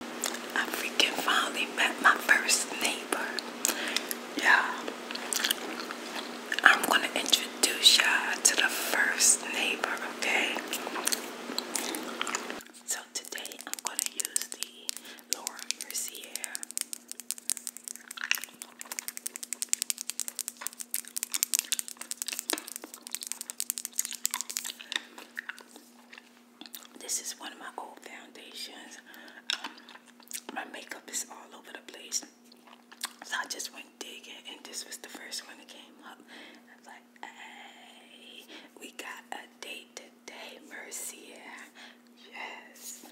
I freaking finally met my first neighbor. Yeah. I'm gonna introduce y'all to the first neighbor, okay? So today I'm gonna use the Laura Mercier. This is one of my old foundations. Um, my makeup is all over the place. So I just went digging, and this was the first one that came up. I was like, hey, we got a date today, Mercia. Yes.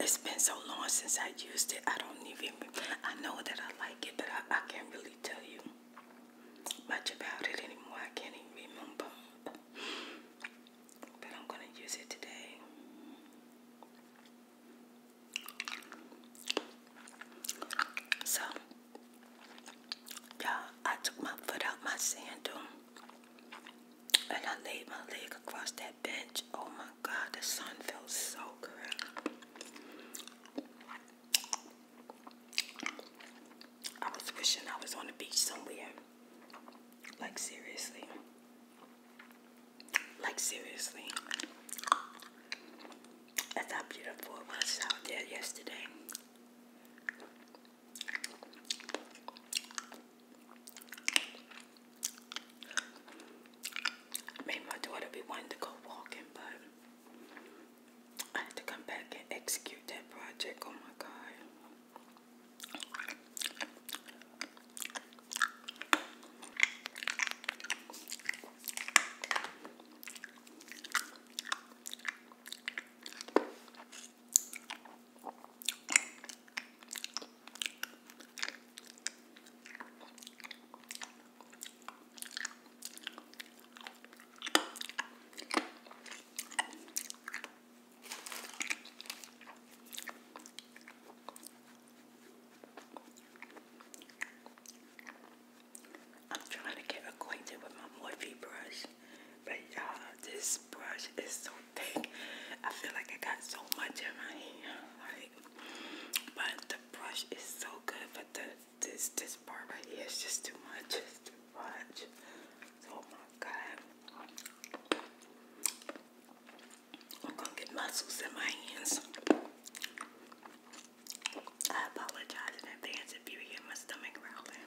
It's been so long since I used it. I don't even, I know that I like it, but I, I can't really tell you much about it anymore. I can't even remember. But I'm going to use it today. So, y'all, I took my foot out my sandal and I laid my leg across that bench. Oh my God, the sun felt so good. I was wishing I was on the beach somewhere. Like seriously. Like seriously. That's how beautiful it was out there yesterday. Maybe my daughter be wanting to go walking, but I need to come back and execute that project. Oh my God. I'm trying to get acquainted with my Morphe brush, but uh, this this brush is so thick. I feel like I got so much in my hair. but the brush is so good, but this this part right here is just too much. It's too much. Oh my god. I'm gonna get muscles in my hands. I apologize in advance if you hear my stomach growling.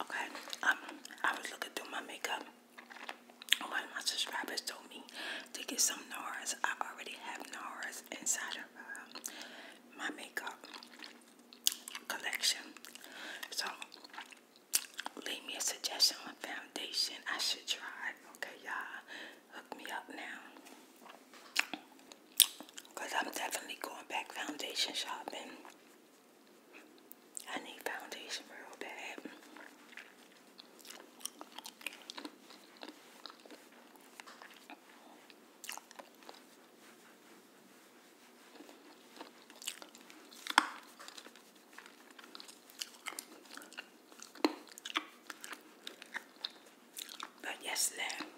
Okay, um, I was looking through my makeup. One my subscribers told me to get some NARS. I already have NARS inside of um, my makeup collection. So, leave me a suggestion on foundation I should try. Okay, y'all, hook me up now. Because I'm definitely going back foundation shopping. I need foundation real bad. But yes, there.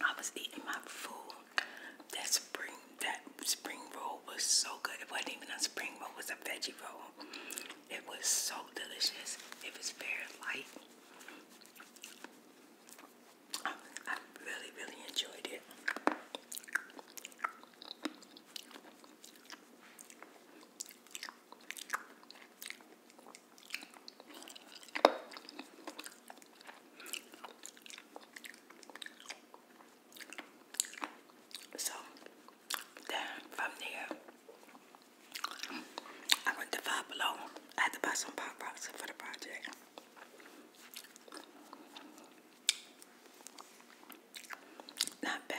I was eating my food. That spring that spring roll was so good. It wasn't even a spring roll, it was a veggie roll. It was so delicious. It was very light. I, I really, really enjoyed it. So then from there, I went to Five Below. I had to buy some pop rocks for the project. Not bad.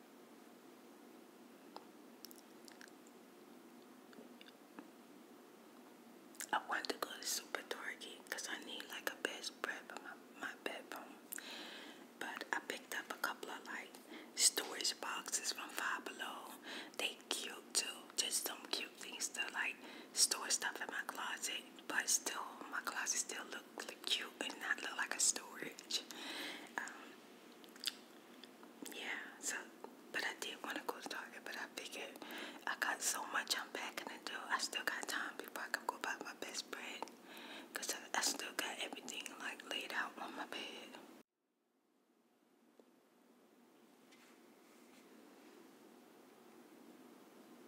I want to go to Super Target because I need like a best for my, bed. But I picked up a couple of like storage boxes from Five Below. They cute too. Just some cute things to like store stuff in my closet. But still, my closet still look, cute and not look like a storage. Um, yeah, so, but I did want to go to Target, but I figured I got so much i to do. I still got time before I can go buy my best bread. Because I, I still got everything like laid out on my bed.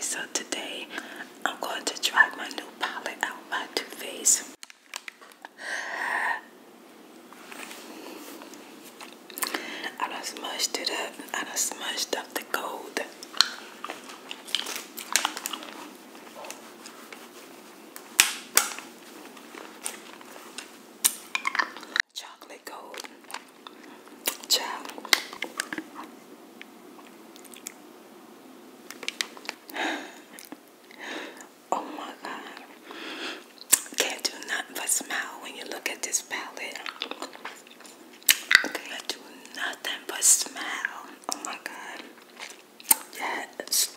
So today I'm going to try my new palette out by Too Faced. I don't smushed it up. I don't smushed up the gold. Chocolate gold. Chow. Oh my God. Can't do nothing but smile when you look at this palette. Can't do nothing but smile. Oh my God. Yes.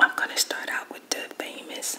I'm going to start out with the famous.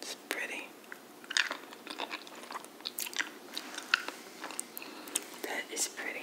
it's pretty. That is pretty.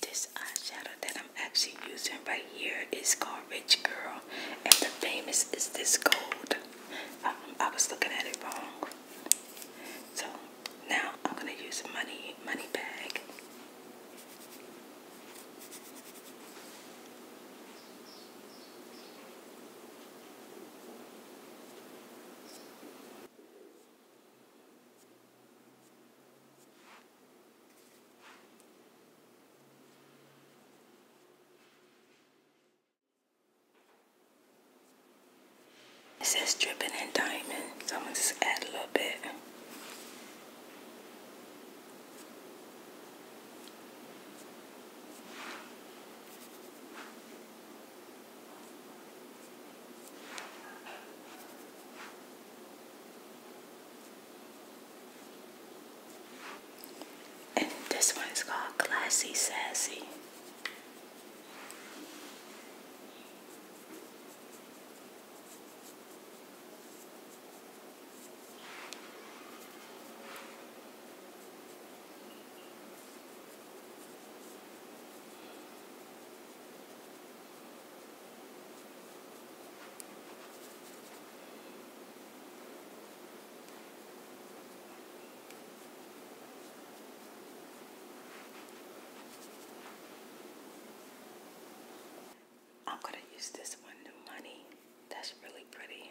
This eyeshadow that I'm actually using right here is called Rich Girl, and the famous is this gold. Um, I was looking at it wrong. So now I'm gonna use money money bag. It says dripping in diamond, so I'm gonna just add a little bit. And this one is called Classy Sassy. I'm going to use this one, New Money. That's really pretty.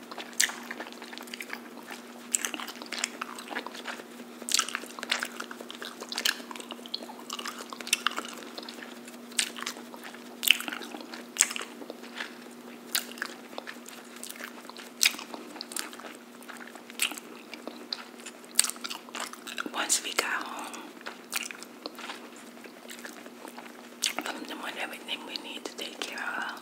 Once we got home from the one everything we need to take care of.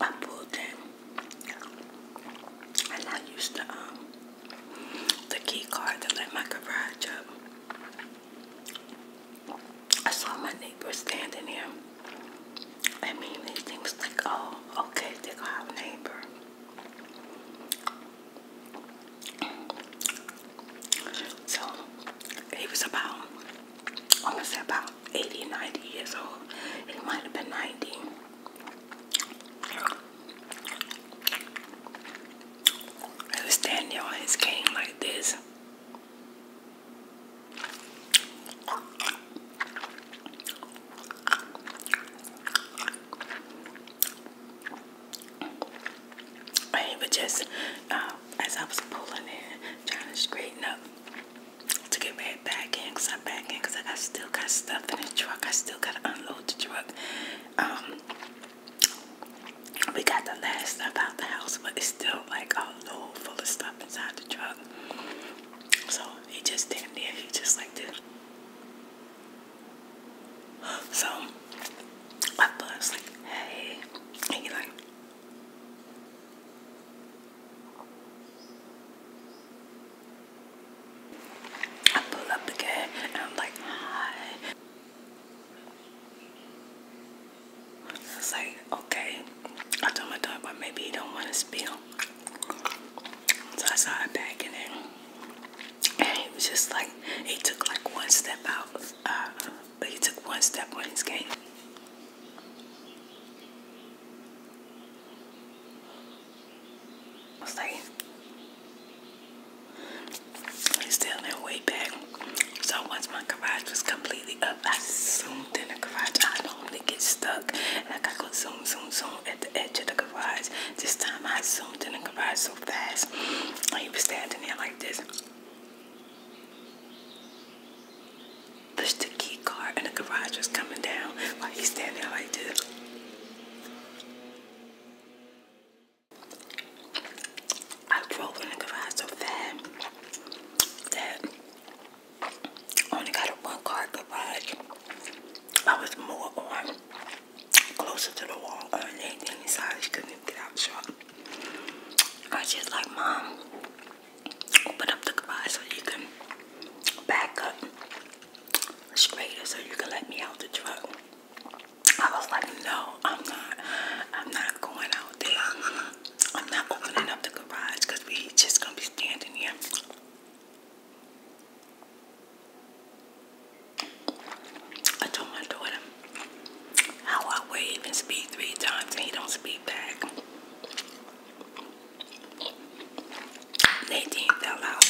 I pulled them, and I used the um, the key card to let my garage up. I saw my neighbor standing there. I mean, they think like, oh, okay, they going a neighbor. So he was about, I'm gonna say about 80, 90 years old. He might have been 90. He was standing on his cane like this. I he just, uh, as I was pulling in, trying to straighten up to get my back in, cause I'm back in, cause I still got stuff in the truck. I still gotta unload the truck. Um, we got the last stuff out the house, but it's still like all full of stuff inside the truck. So he just stand there. He just like this. So I buzz like, hey, and he like, I pull up again and I'm like, hi. It's like, okay. I told my dog, but maybe he don't want to spill. So I started in it and he was just like he took like one step out but uh, he took one step on his game I was like he's still in way back so once my garage was completely up I zoomed in the garage I normally get stuck like I go zoom zoom zoom at the edge of the garage this time I zoomed in the garage so fast he was standing there like this Push the key card and the garage was coming down while he's standing there like this. I drove in the garage so fast that I only got a one car garage. I was more on closer to the wall or anything inside. She couldn't even get out the I just like, Mom, open up the garage so you can back up straighter so you can let me out the truck. I was like, no, I'm not. I'm not going out there. I'm not opening up the garage because we just going to be standing here. I told my daughter how I wave and speak three times and he don't speak back. Nadine fell out.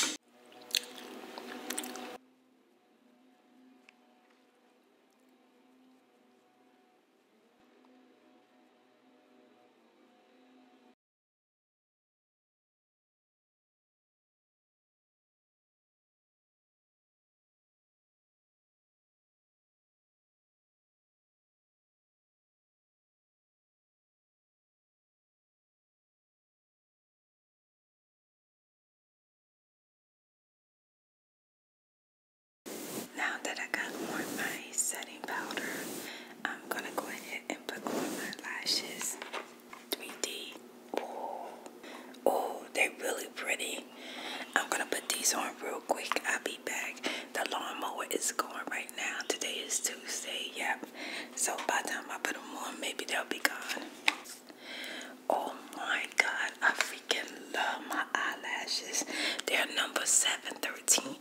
Now that I got on my setting powder, I'm going to go ahead and put on my lashes. 3D. Oh, they're really pretty. I'm gonna put these on real quick. I'll be back. The lawn mower is going right now. Today is Tuesday. Yep. So by the time I put them on, maybe they'll be gone. Oh my God, I freaking love my eyelashes. They're number 713M.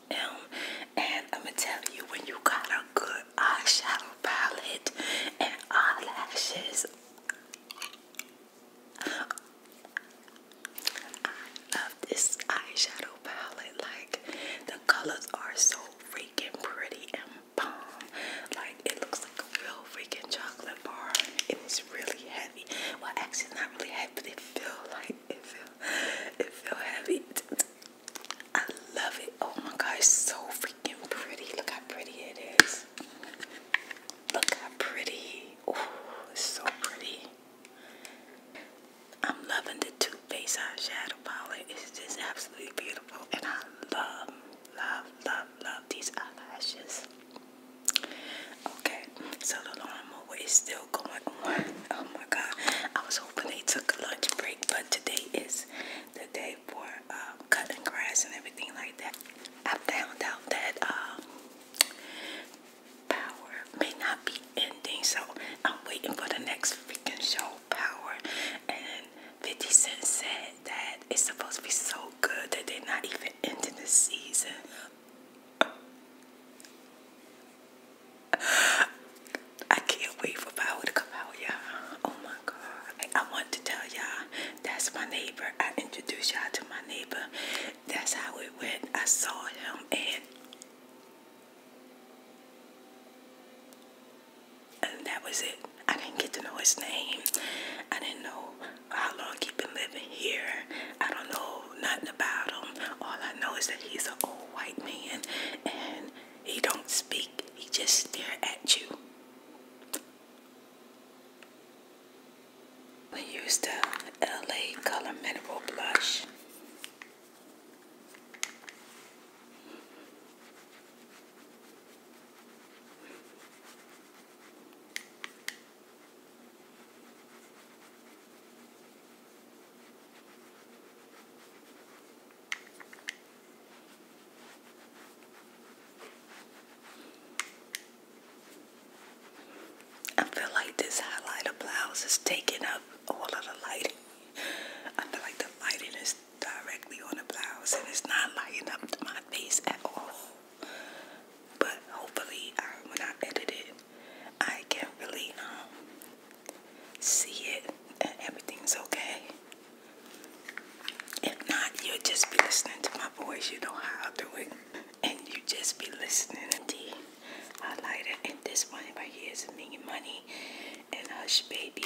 And I'm gonna tell you, when you got a good eyeshadow palette and eyelashes, I love this eyeshadow palette. Like the colors are so freaking pretty and bomb. Like it looks like a real freaking chocolate bar. It really heavy. Well, actually, not really heavy, but it feel like it feel it feel heavy. I love it. Oh my gosh, so freaking Look how pretty it is. Look how pretty. Oh, it's so pretty. I'm loving the Too Faced eyeshadow palette. It's just absolutely beautiful. And I love, love, love, love these eyelashes. Okay, so the lawnmower is still going Oh my god. I was hoping they took a lunch break, but today is the day for um, cutting grass and everything like that. I found out that um, power may not be ending, so I'm waiting for the next freaking show, Power. And 50 Cent said that it's supposed to be so good that they're not even ending the season. I can't wait for Power to come out, y'all. Oh my I want to tell y'all that's my neighbor. I introduced y'all to my neighbor. That's how it went. I saw him and that was it. I didn't get to know his name. I didn't know how long he had been living here. I don't know nothing about him. All I know is that he's an old white man and he don't speak. He just stare at you. We used the LA Color Mineral Blush. I feel like this highlighter blouse is taking up all of the lighting. I feel like the lighting is directly on the blouse and it's not lighting up my face at all. But hopefully, um, when I edit it, I can really um, see it and everything's okay. If not, you'll just be listening to my voice. You know how i do it. And you just be listening. I The it, And this one right here making Money and Hush Baby.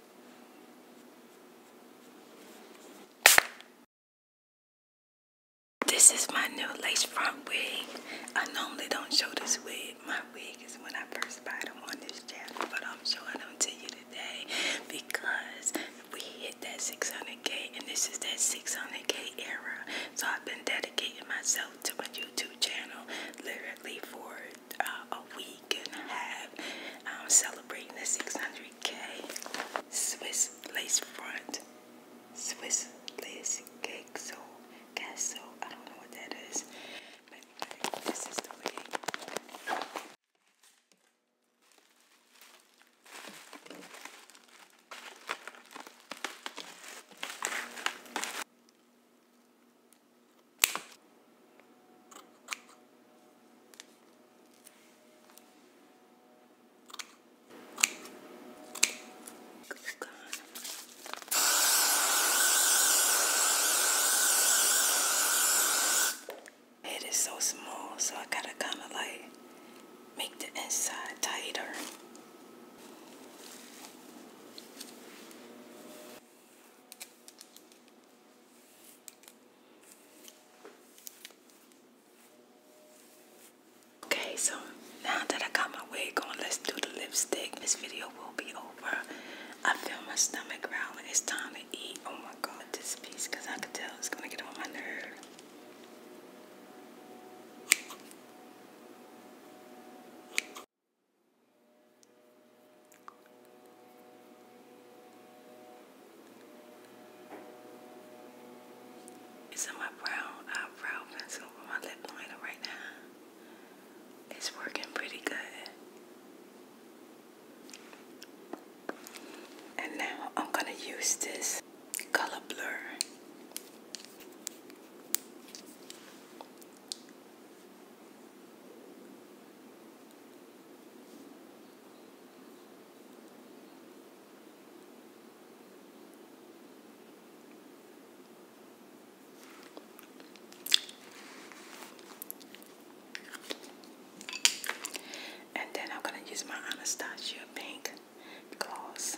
This is my new lace front wig. I normally don't show this wig. My wig is when I first buy them on this channel, but I'm showing them to you today because we hit that 600k and this is that 600k era. So I've been dedicating myself to my YouTube channel literally for uh, a week and a um, celebrating the 600k Swiss lace front, Swiss lace cake. So, I don't know what that is, but this is the way. It is so small, so I gotta kind of like make the inside tighter. Okay, so now that I got my wig on, let's do the lipstick. This video will be over. I feel my stomach growling. It's time to eat. Oh my god, this piece, because I can tell it's going to get on my nerve. It's in my brown eyebrow pencil with my lip liner right now. It's working pretty good. And now I'm going to use this color blur. And then I'm going to use my Anastasia pink gloss.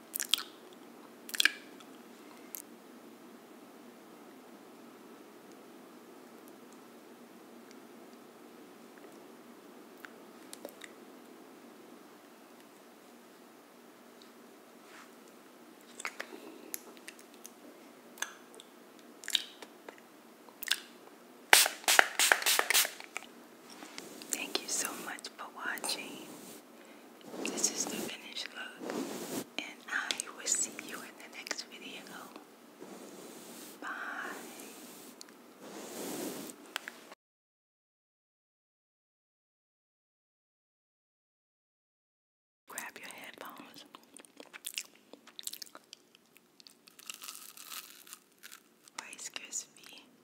Thank you so much for watching. This is the finished look, and I will see you in the next video. Bye. Grab your headphones. Rice Krispie.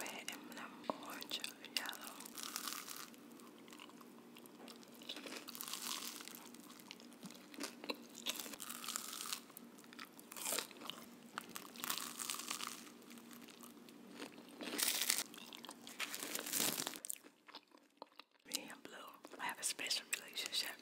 red and um, orange, yellow. Me and Blue, I have a special relationship.